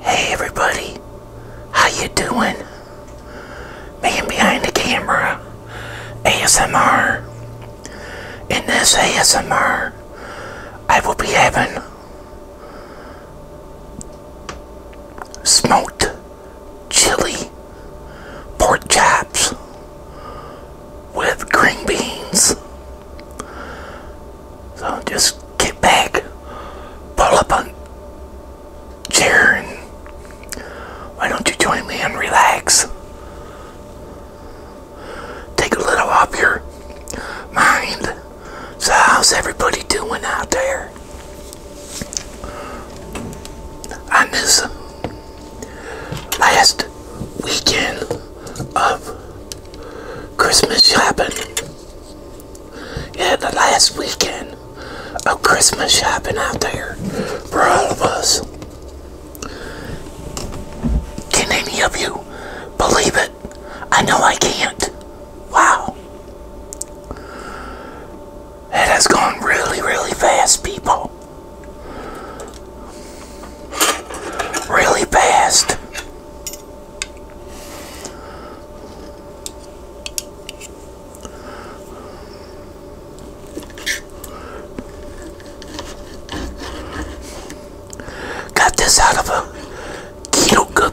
Hey everybody, how you doing? Man behind the camera, ASMR. In this ASMR, I will be having smoked chili pork chops with green beans so just get back, pull up on chair, and why don't you join me and relax? Take a little off your mind. So how's everybody doing out there? I miss this last weekend of Christmas shopping. Yeah, the last weekend of Christmas shopping out there for all of us. Can any of you believe it? I know I can't. Wow. It has gone really, really fast, people. Really fast. Got this out of a keto good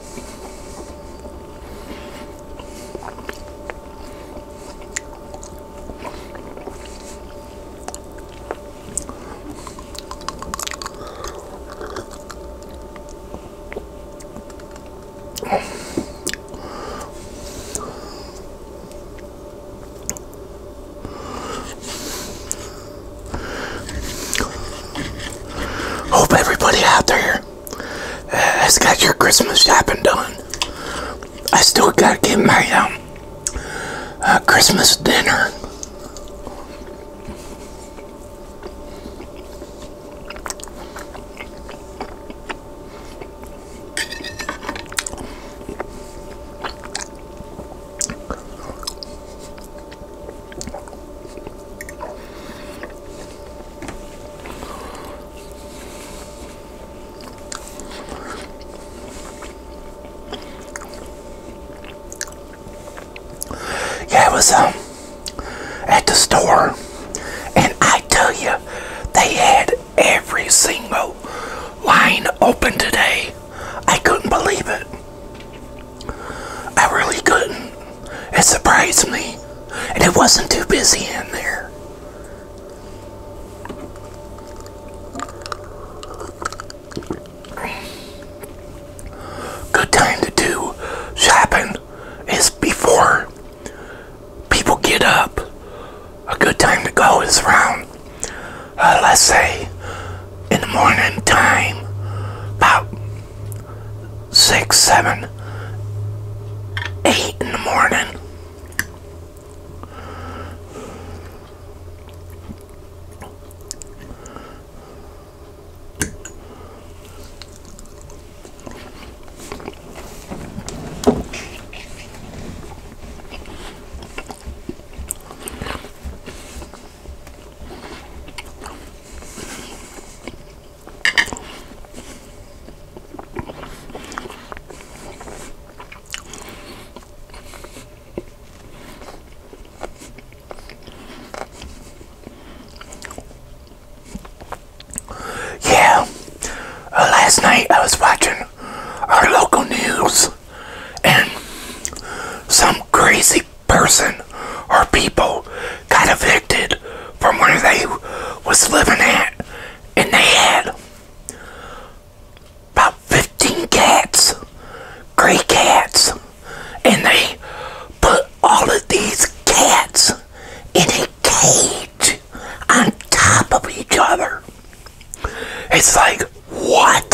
Hope everybody out there has got your Christmas shopping done. I still gotta get my um, uh, Christmas dinner. Yeah, it was um, at the store, and I tell you, they had every single line open today. I couldn't believe it. I really couldn't. It surprised me. And it wasn't too busy in there. Good time to do shopping is before people get up. A good time to go is around, uh, let's say, in the morning time, about six, seven, eight in the morning. Yeah, uh, last night I was watching our local news and some crazy person or people got evicted from where they was living at and they had about 15 cats gray cats and they put all of these cats in a cage on top of each other it's like what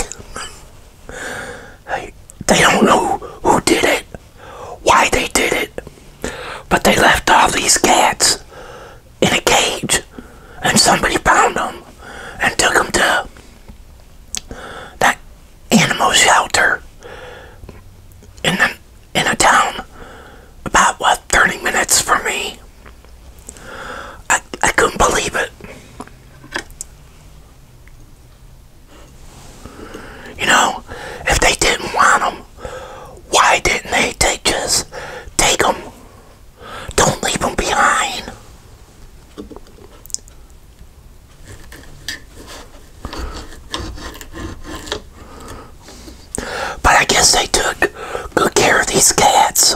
they don't know who did it why they did it, but they left all these cats in a cage, and somebody found them and took them to that animal shelter in the, in a town about what 30 minutes from me. I I couldn't believe it. You know, if they didn't want them, why didn't they take, just take them? Don't leave them behind. But I guess they took good care of these cats.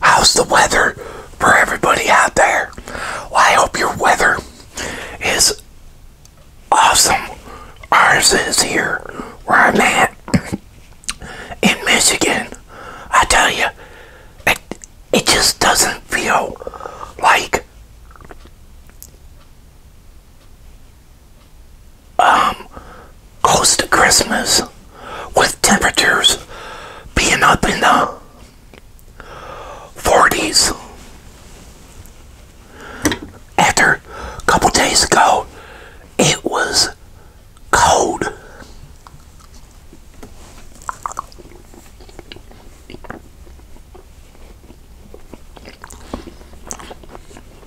How's the weather for everybody out there? Well, I hope your weather is awesome. Ours is here where I'm at in Michigan. I tell you, it, it just doesn't feel like um, close to Christmas with temperatures being up in the 40s. After a couple days ago, it was cold.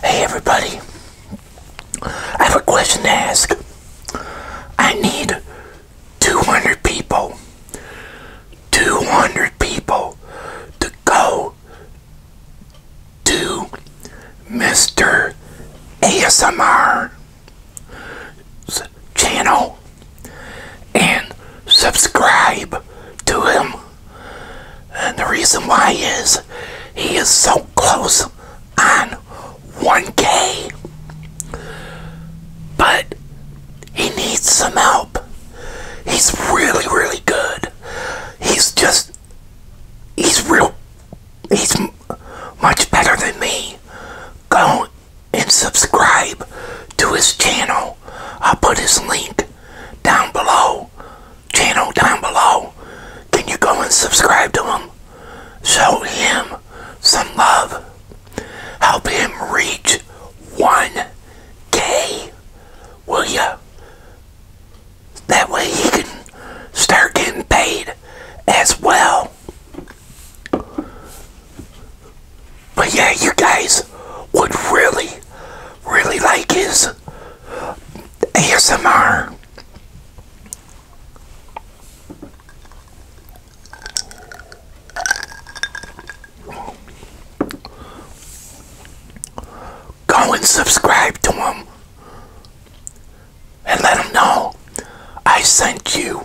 Hey everybody, I have a question to ask. I need 200 people, 200 people to go to Mr. ASMR channel and subscribe to him. And the reason why is he is so close on 1K, but he needs some help. He's really, really good. He's just, he's real, he's much better than me. Go and subscribe to his channel. I'll put his link down below, channel down below. Can you go and subscribe to him? Show him some love. Help him reach 1K, will you? That way he can start getting paid as well. But yeah, you guys would really, really like his ASMR. Go and subscribe to him and let him know I sent you.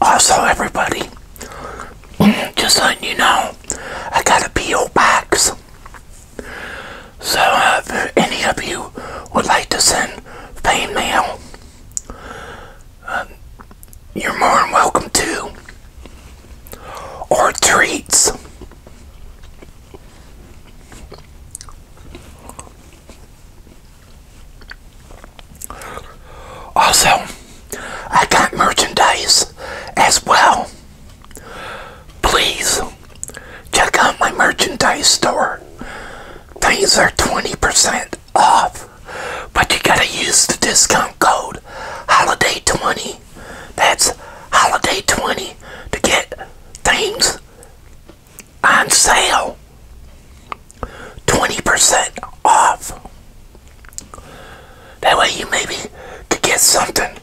Also, everybody, just letting you know, I got a P.O. box. So, uh, if any of you would like to send fan mail, uh, you're more than welcome to. Or treats. Also, I got merchandise as well. Please check out my merchandise store. Things are 20% off, but you gotta use the discount code HOLIDAY20. That's HOLIDAY20 to get things on sale. 20% off. That way you maybe could get something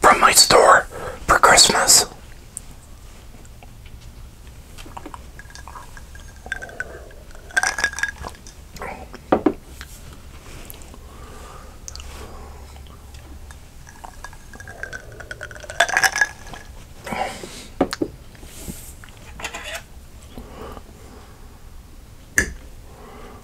from my store for Christmas.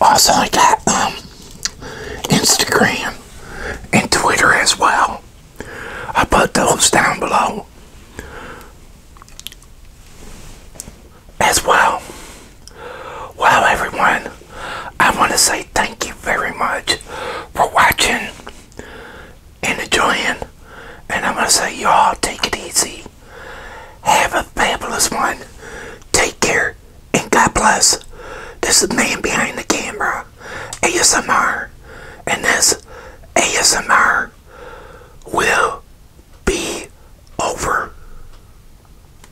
Also, I got um, Instagram and Twitter as well. i put those down below as well. Well, everyone, I want to say thank you very much for watching and enjoying. And I'm going to say, y'all, take it easy. Have a fabulous one. Take care and God bless. This man behind the camera, ASMR. And this ASMR will be over.